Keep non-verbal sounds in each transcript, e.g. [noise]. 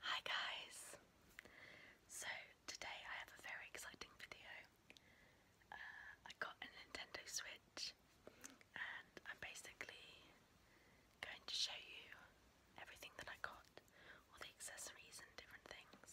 Hi guys! So today I have a very exciting video. Uh, I got a Nintendo Switch and I'm basically going to show you everything that I got, all the accessories and different things.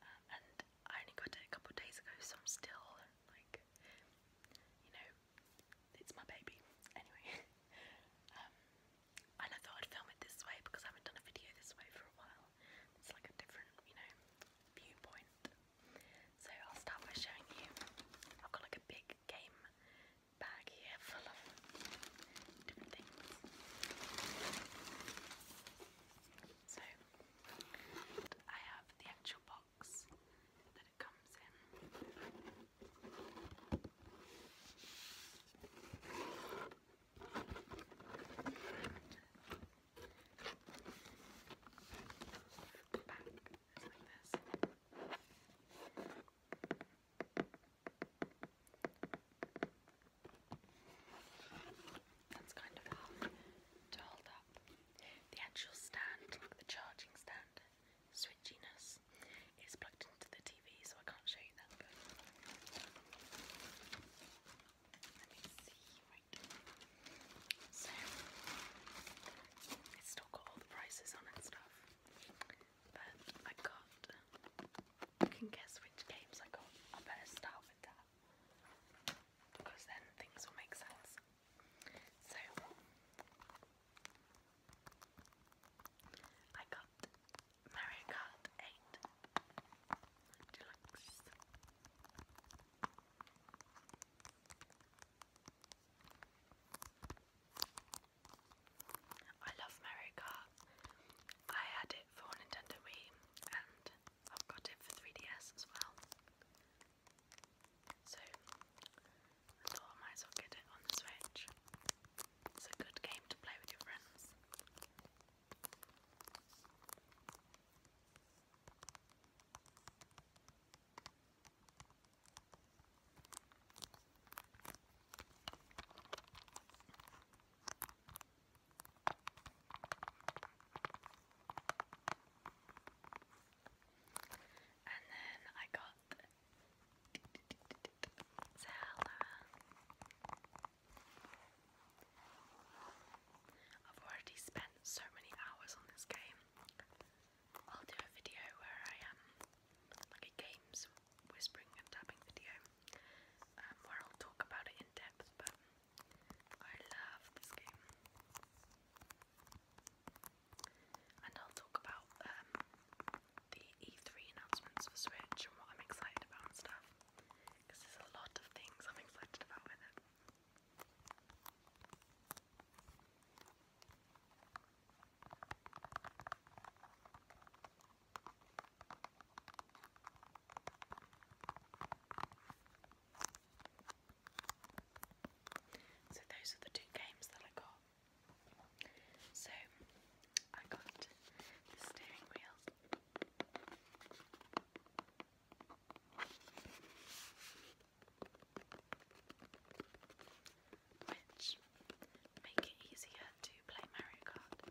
Uh, and I only got it a couple days ago so I'm still like, you know, it's my baby. Anyway, [laughs] um, and I thought I'd film it this way because I haven't done a video this way for a while. It's like a different, you know, viewpoint. So I'll start by showing you. I've got like a big game bag here full of different things. So I have the actual box that it comes in back just like That's kind of hard to hold up. The actual stand, like the charging stand, switchiness it's plugged into the TV, so I can't show you that. So it's still got all the prices on and stuff, but I got. You can guess which games I got. I better start with that because then things will make sense. So I got Mario Kart 8 Deluxe. I love Mario Kart. I had it for Nintendo Wii and I've got it for 3DS as well. So I thought I might as well get it on the Switch. It's a good game to play with your friends. And then I got I've already spent so many hours on this game. I'll do a video where I am um, like a games whispering and tapping video um, where I'll talk about it in depth, but I love this game. And I'll talk about um, the E3 announcements for Switch and what I'm excited about and stuff. Because there's a lot of things I'm excited about So those are the two games that I got. So I got the steering wheel. Which make it easier to play Mario Kart.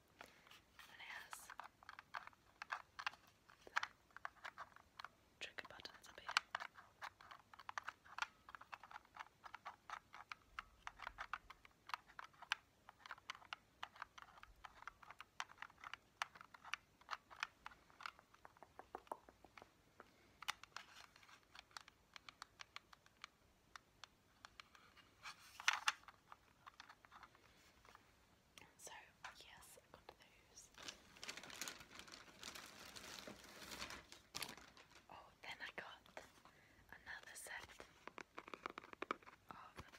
and it has the buttons up here. So, yes, I got those. Oh, then I got another set of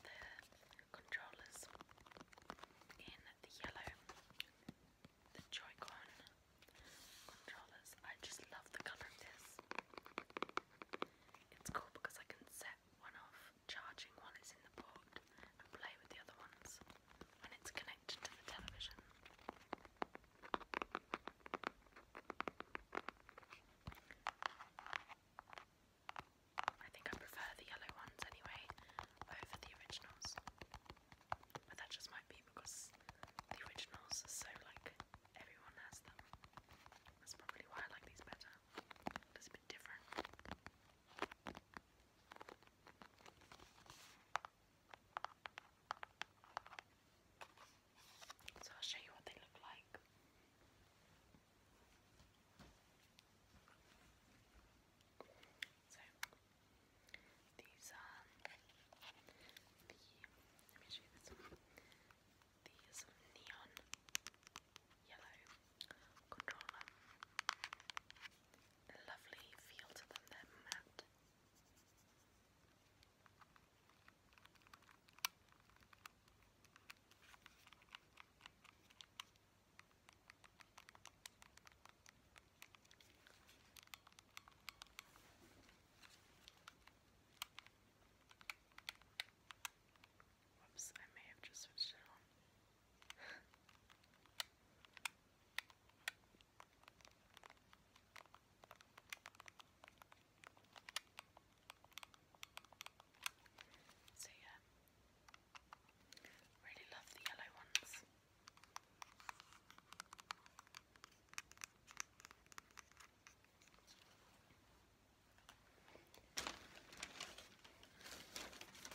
the controllers in the yellow, the Joy-Con controllers. I just love the colour of this. It's cool because I can set one off charging while it's in the port and play with the other ones when it's connected to the television. I think I prefer the yellow ones anyway over the originals. But that just might be because the originals are so like everyone has them. That's probably why I like these better. It's a bit different. So I'll show you what they look like. So these are the let me show you this one. These neon yellow controller. Lovely feel to them, they're matte. Whoops, I may have just switched it on. [laughs] so yeah, really love the yellow ones.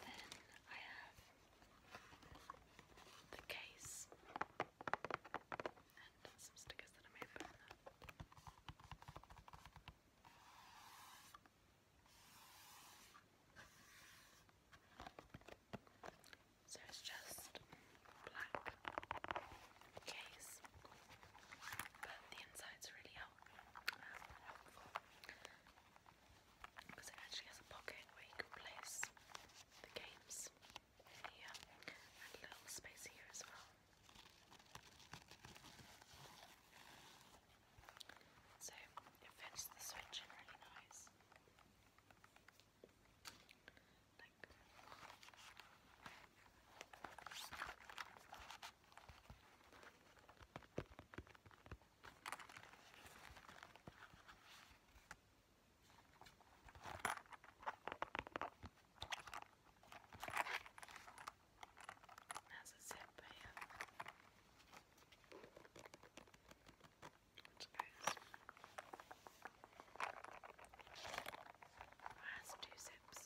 Then I have the case and some stickers that I made from that. So it's just black case, but the inside's really helpful because it actually has a pocket where you can place the games here and a little space here as well. So it fits the switch in really nice. Has a zip here, which goes. two zips.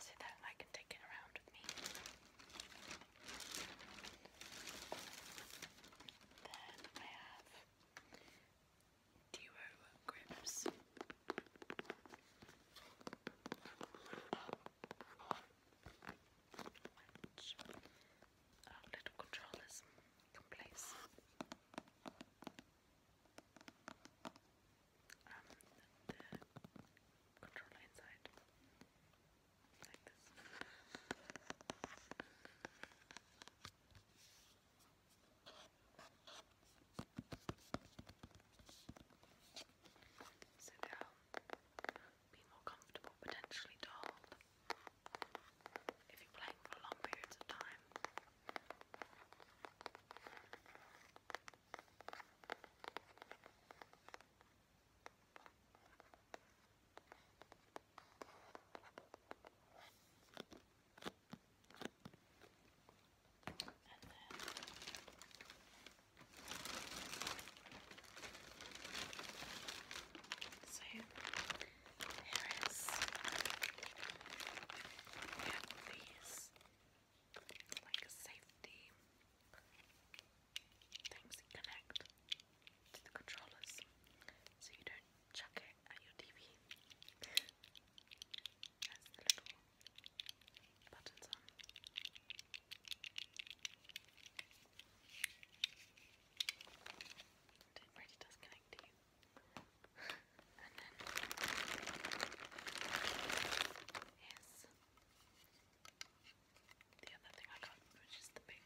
So that I can take it around with me. Then I have duo grips. Which our little controllers can place. Um, the controller inside, like this. be more comfortable, potentially dull if you're playing for long periods of time. And then so Harris. have these like safety things that to the controllers so you don't chuck it at your TV. That's little buttons on. It really does connect to you. And then here's the other thing I got, which is the big,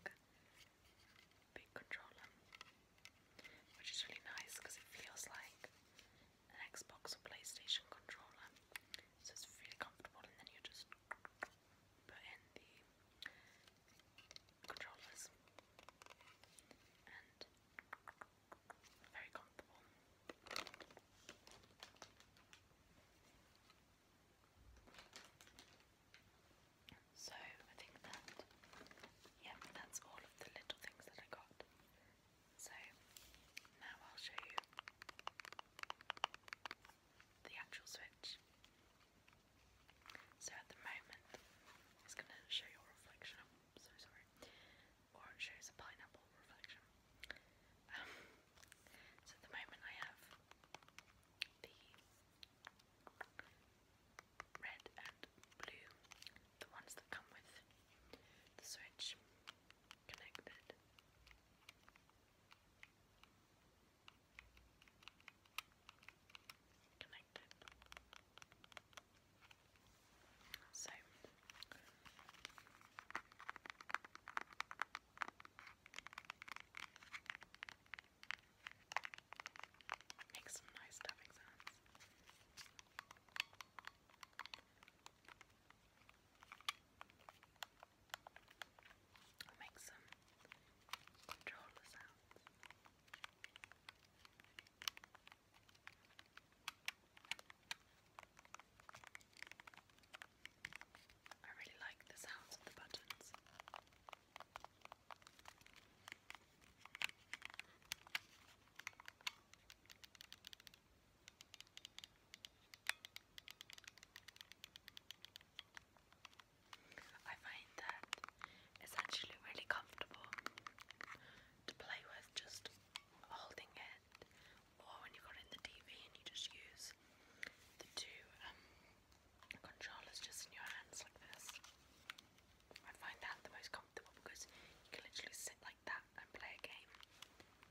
big controller, which is really nice because it feels like an Xbox or PlayStation controller, so it's really comfortable. And then you just put in the controllers and very comfortable. So I think that, yeah, that's all of the little things that I got. So now I'll show you the actual switch. So at the moment, it's going to show your reflection. I'm so sorry. Or it shows a pineapple reflection. Um, so at the moment, I have the red and blue, the ones that come with the switch connected. Connected. So makes some nice stuffing sounds. I'll make some controller sounds. I really like the sounds of the buttons. I find that it's actually really comfortable to play with just holding it or when you've got in the TV and you just use the two um, controllers just in your hands like this. I find that the most comfortable because you can literally sit like that and play a game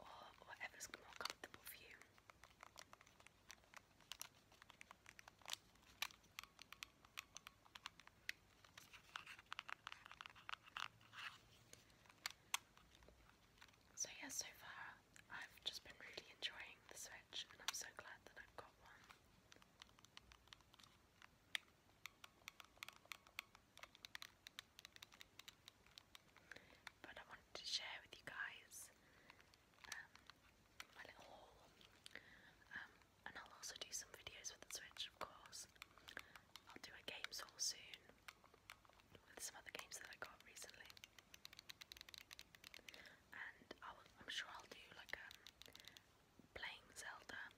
or whatever's more comfortable for you. So, yeah, so far I've just been really enjoying the Switch, and I'm so glad that I've got one. But I wanted to share with you guys um, my little haul. Um, and I'll also do some videos with the Switch, of course. I'll do a games haul soon with some other games that I got recently, and i am sure I'll do like a um, playing Zelda um,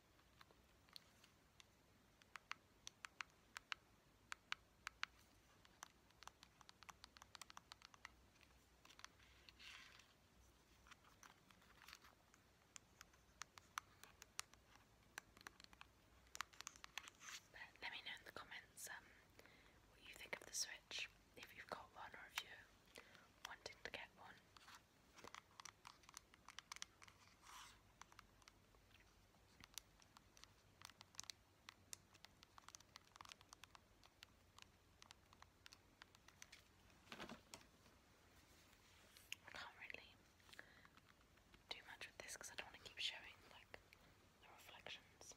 But let me know in the comments um, what you think of the Switch, if you've got one or if you're wanting to get one. I can't really do much with this because I don't want to keep showing like the reflections.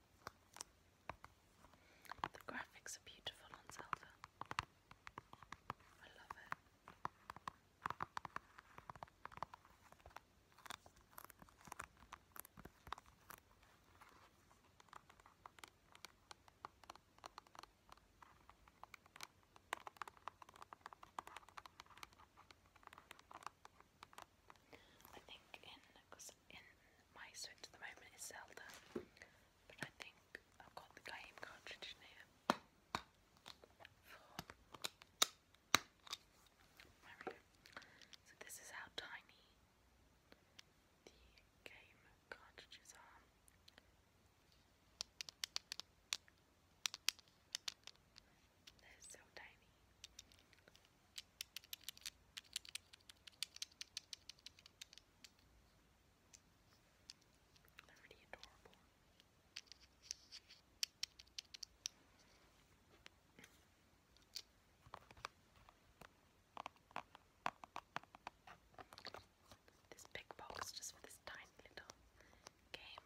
The graphics are beautiful on Zelda. I love it. I think in my Switch at the moment is Zelda, but I think I've got the game cartridge in So this is how tiny the game cartridges are. They're so tiny. They're really adorable. This big box just for this tiny little game.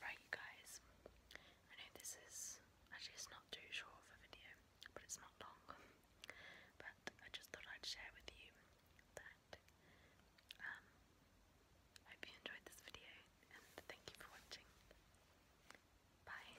Right, you guys. I know this is actually it's not too short of a video, but it's not long. But I just thought I'd share with you that. Um, I hope you enjoyed this video and thank you for watching. Bye.